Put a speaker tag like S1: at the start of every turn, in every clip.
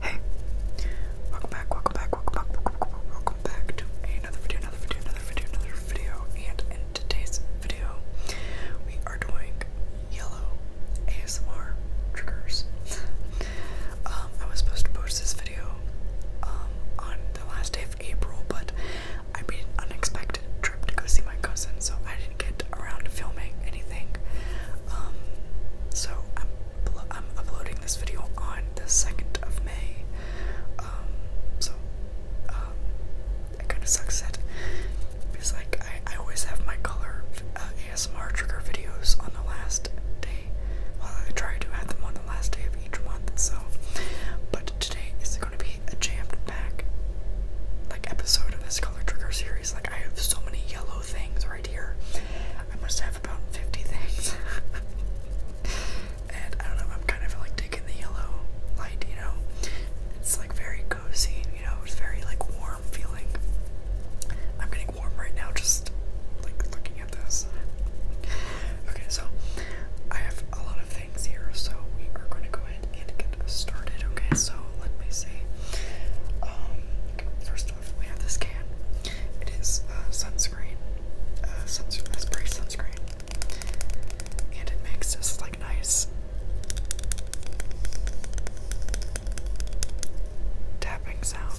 S1: Hey, welcome back, welcome back, welcome back, welcome, back to another video, another video, another video, another video. And in today's video, we are doing yellow ASMR triggers. Um, I was supposed to post this video um, on the last day of April, but I made an unexpected trip to go see my cousin, so I didn't get around to filming anything. Um, so I'm, I'm uploading this video on the 2nd of May. Um, so um, kind of sucks that because like I, I always have my color uh, ASMR trigger videos on the last day. Well, I try to add them on the last day of each month. So, but today is going to be a jammed back like episode of this color trigger series. Like I have so many yellow things right here. I must have about 50 things. and I don't know, I'm kind of like taking the yellow light, you know. It's like very cozy, you know, it's very like warm feeling. I'm getting warm right now just like looking at this. Okay, so I have a lot of things here, so we are going to go ahead and get started. Okay, so let me see. Um, first off, we have this can. It is uh, sunscreen, uh, spray sunscreen, and it makes this like nice tapping sound.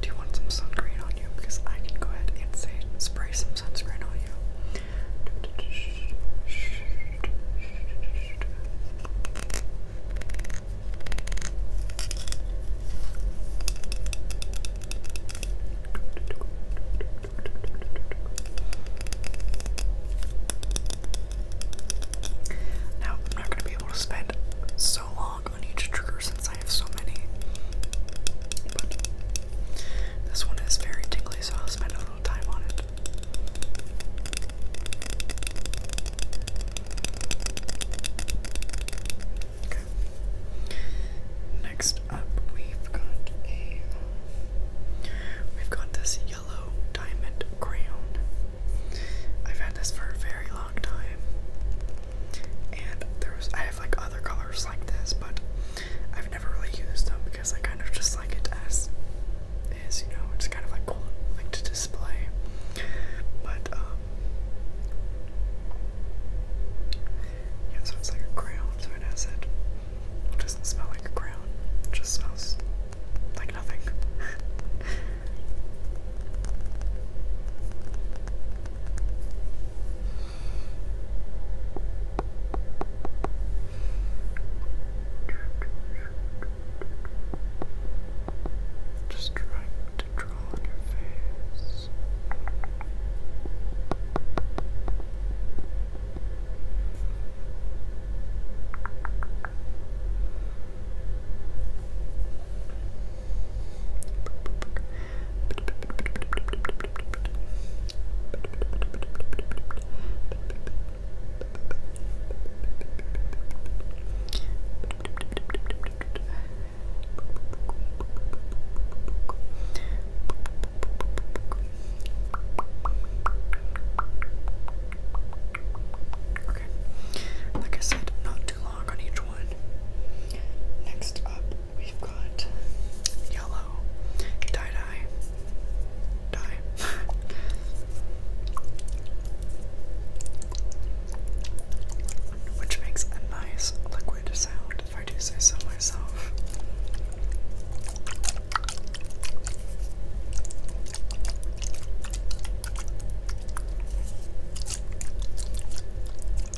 S1: Do you want some sunscreen on you? Because I can go ahead and say spray some sunscreen on you. Now, I'm not going to be able to spend so long work on each trigger since I have so many. this one is very tingly, so I'll spend a little time on it. Next up, we've got a we've got this yellow diamond crayon. I've had this for a very long time. And there's I have like other colors like this, but I've never really used them because I kind of just like it as is, you know, it's kind of like cool like to display. But um Yeah, it's like a crown, so it has it. doesn't smell like a crown. just smells like nothing. Just trying to draw on your face. Good. Okay. Like I said, not too long Next up, we've got yellow dye dye dye. Which makes a nice liquid sound, if I do say so myself.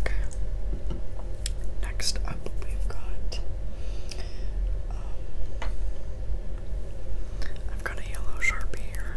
S1: Okay. Next up, we've got. Um, I've got a yellow sharpie here.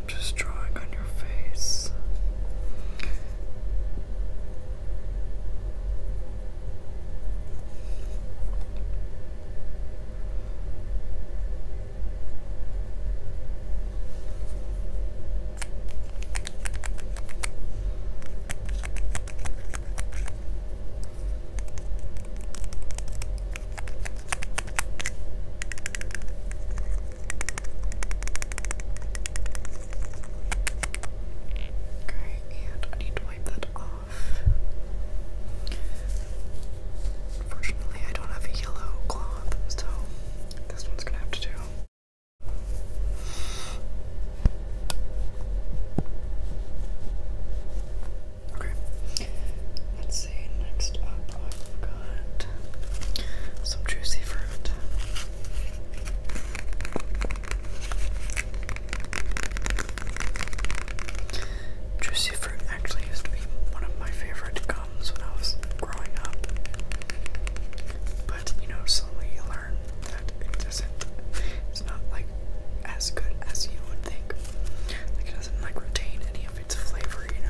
S1: I'm just drawing on your face. Okay, and I need to wipe that off. Unfortunately, I don't have a yellow cloth, so this one's gonna have to do. Okay, let's see. Next up, I've got some juicy fruit curved. Juicy fruit actually used to be one of my favorite gums when I was growing up. But you know, slowly you learn that it doesn't it's not like as good as you would think. Like it doesn't like retain any of of its flavor, you know.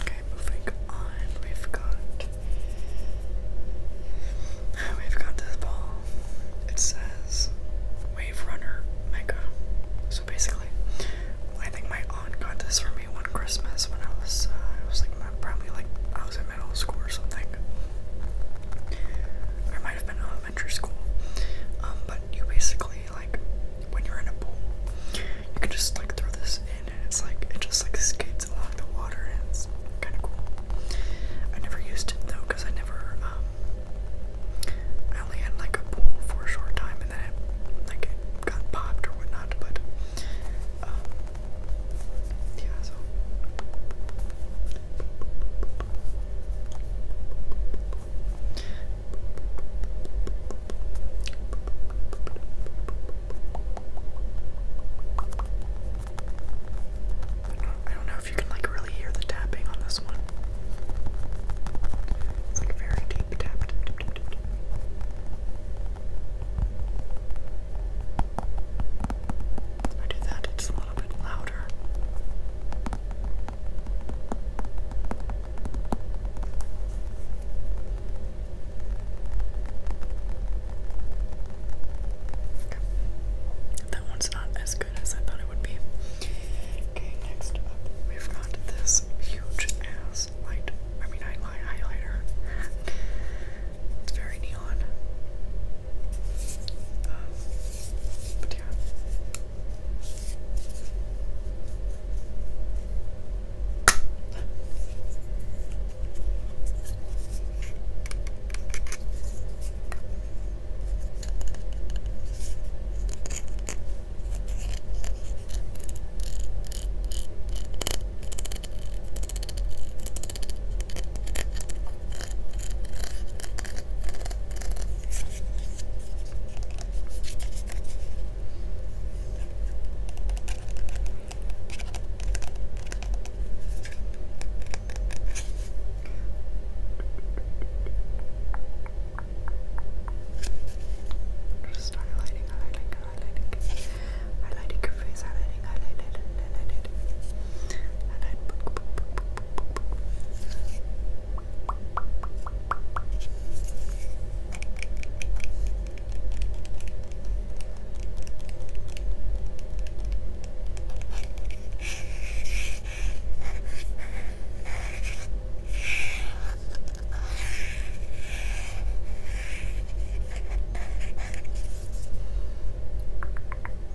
S1: Okay, moving on. We've got we've got this ball. It says Wave Runner Mega. So basically, I think my aunt got this for me one Christmas when I was uh, I was like probably like I was in middle school or something. Or might have been elementary school. Um, but you basically like when you're in a pool, you can just like throw this in and it's like it just like skates along the water and kinda cool. I never used it though because I never um, I only had like a pool for a short time and then like it got popped or whatnot, but um, the I don't know if you can like really hear the tapping on this one. It's like very deep tap. If I do that, it's a little bit louder. That one's not as good as I thought it would be. Okay, next up, we've got this huge ass light. I mean, I highlighter. It's very neon. Um, but yeah. Just highlighting, highlighting, highlighting, highlighting your face, highlighting, highlighting, highlighting. And I'd Good.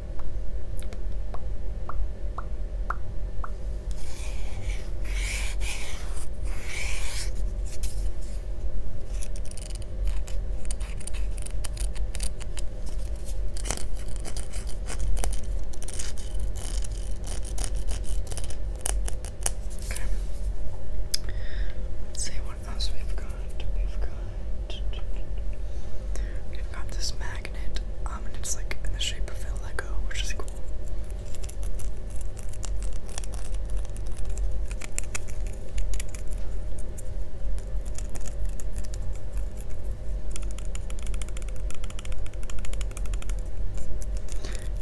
S1: Okay. Let's see what else we've got. We've got We've got this magnet, um, and it's like in the shape of a Lego, which is cool.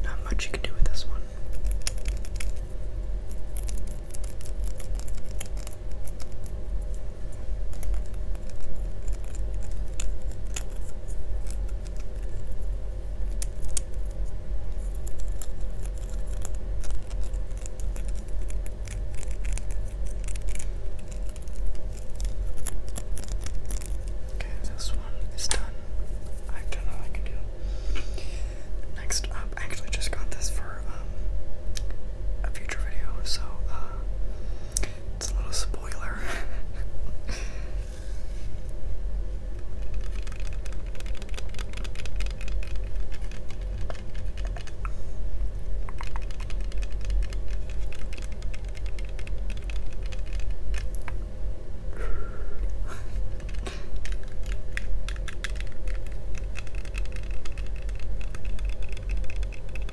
S1: Not much you can do with this one. Okay, this one is done. I don't know I can do. Next up, I actually just got this for um, a future video, so uh, it's a little spoiler.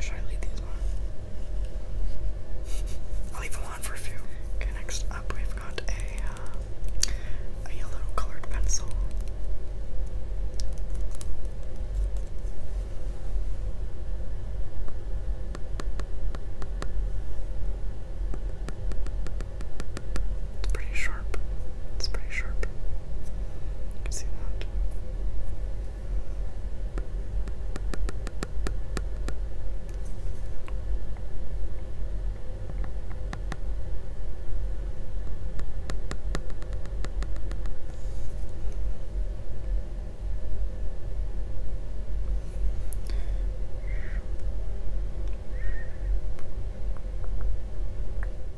S1: Should I leave these on? I'll leave them on for a few. Okay, next up we've got a, uh, a yellow colored pencil. It's pretty sharp. It's pretty sharp. You can see that.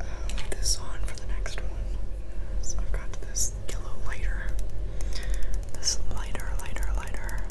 S1: uh, leave this on for the next one. So I've got this yellow lighter. This lighter, lighter, lighter.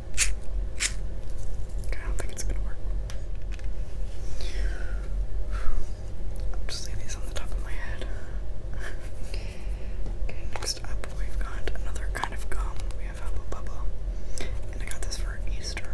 S1: I don't think it's gonna work. I'll just leave these on the top of my head. okay, next up we've got another kind of gum. We have Hubba Bubba. And I got this for Easter.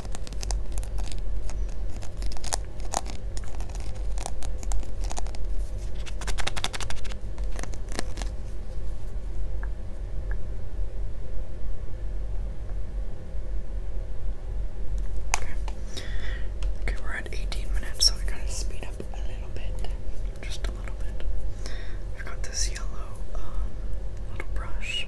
S1: Okay, we're at 18 minutes, so we gotta speed up a little bit. Just a little bit. I've got this yellow um, little brush.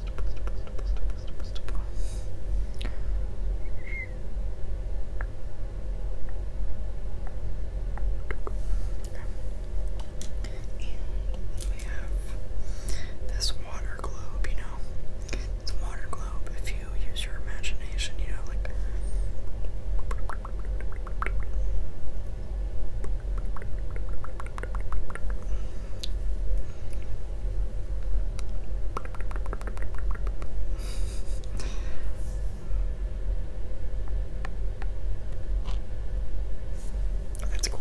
S1: And we have this water globe, you know. This water globe, if you use your imagination, you know, like. That's cool.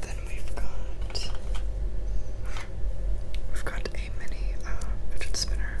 S1: Then we've got we've got a mini uh, spinner.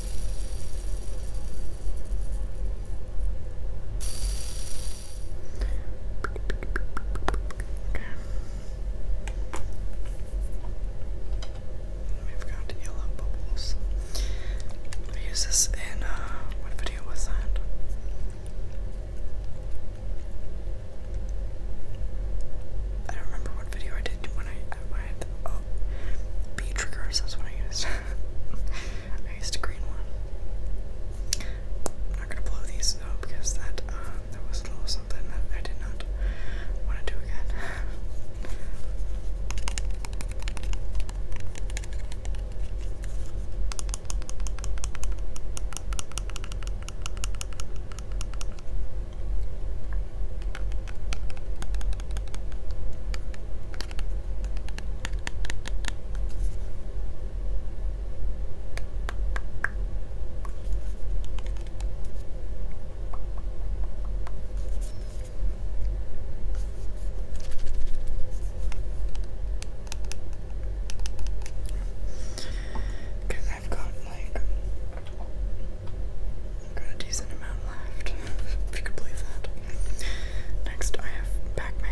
S1: We've got yellow bubbles. I used this in, uh, what video was that? I don't remember what video I did when I, when oh, B triggers, that's what I used. I used a green one. not gonna blow these though because that um, that was a little something that I did not want to do again. Cause I've got like got a decent amount left, if you could believe that. Next, I have Pac Man.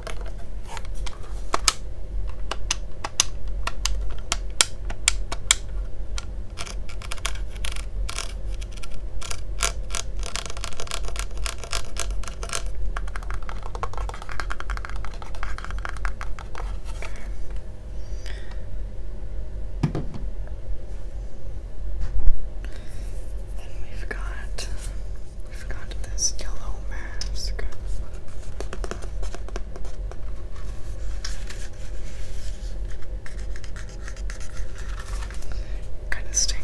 S1: Then we've got We've this yellow mask. Kind of stings.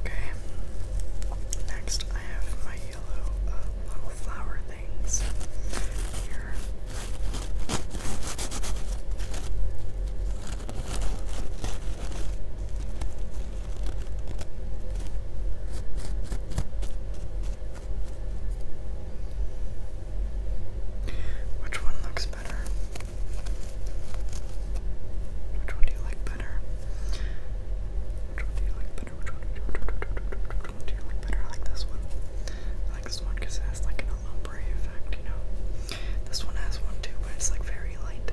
S1: Okay. Next, I have my yellow uh, little flower things here. Which one looks better? Which one do you like better? Which one do you like do you, like better? like this one. like this one it has like an ombre effect, you know? This one has one too, but it's like very light.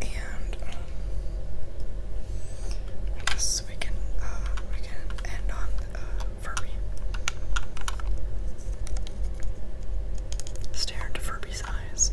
S1: And, I guess we can uh, we can end on uh, Furby. Stare into Furby's eyes.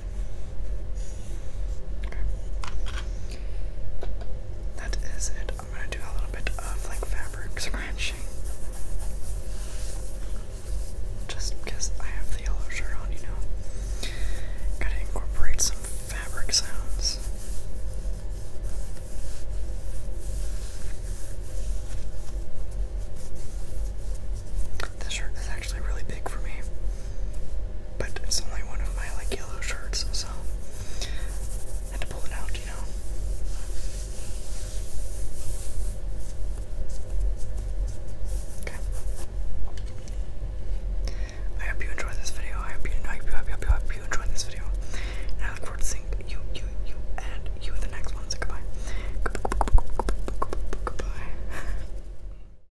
S1: That is it. I'm gonna do a little bit of like fabric scratching. Just because I have the yellow shirt on, you know. Gotta incorporate some fabric sounds. This shirt is actually really big for me but it's only one of my like yellow shirts, so I had to pull it out, you know. Okay. I hope you enjoyed this video. I hope you, I I hope you, enjoyed this video. And I look forward to seeing you, you, you, and you in the next one. goodbye. Goodbye.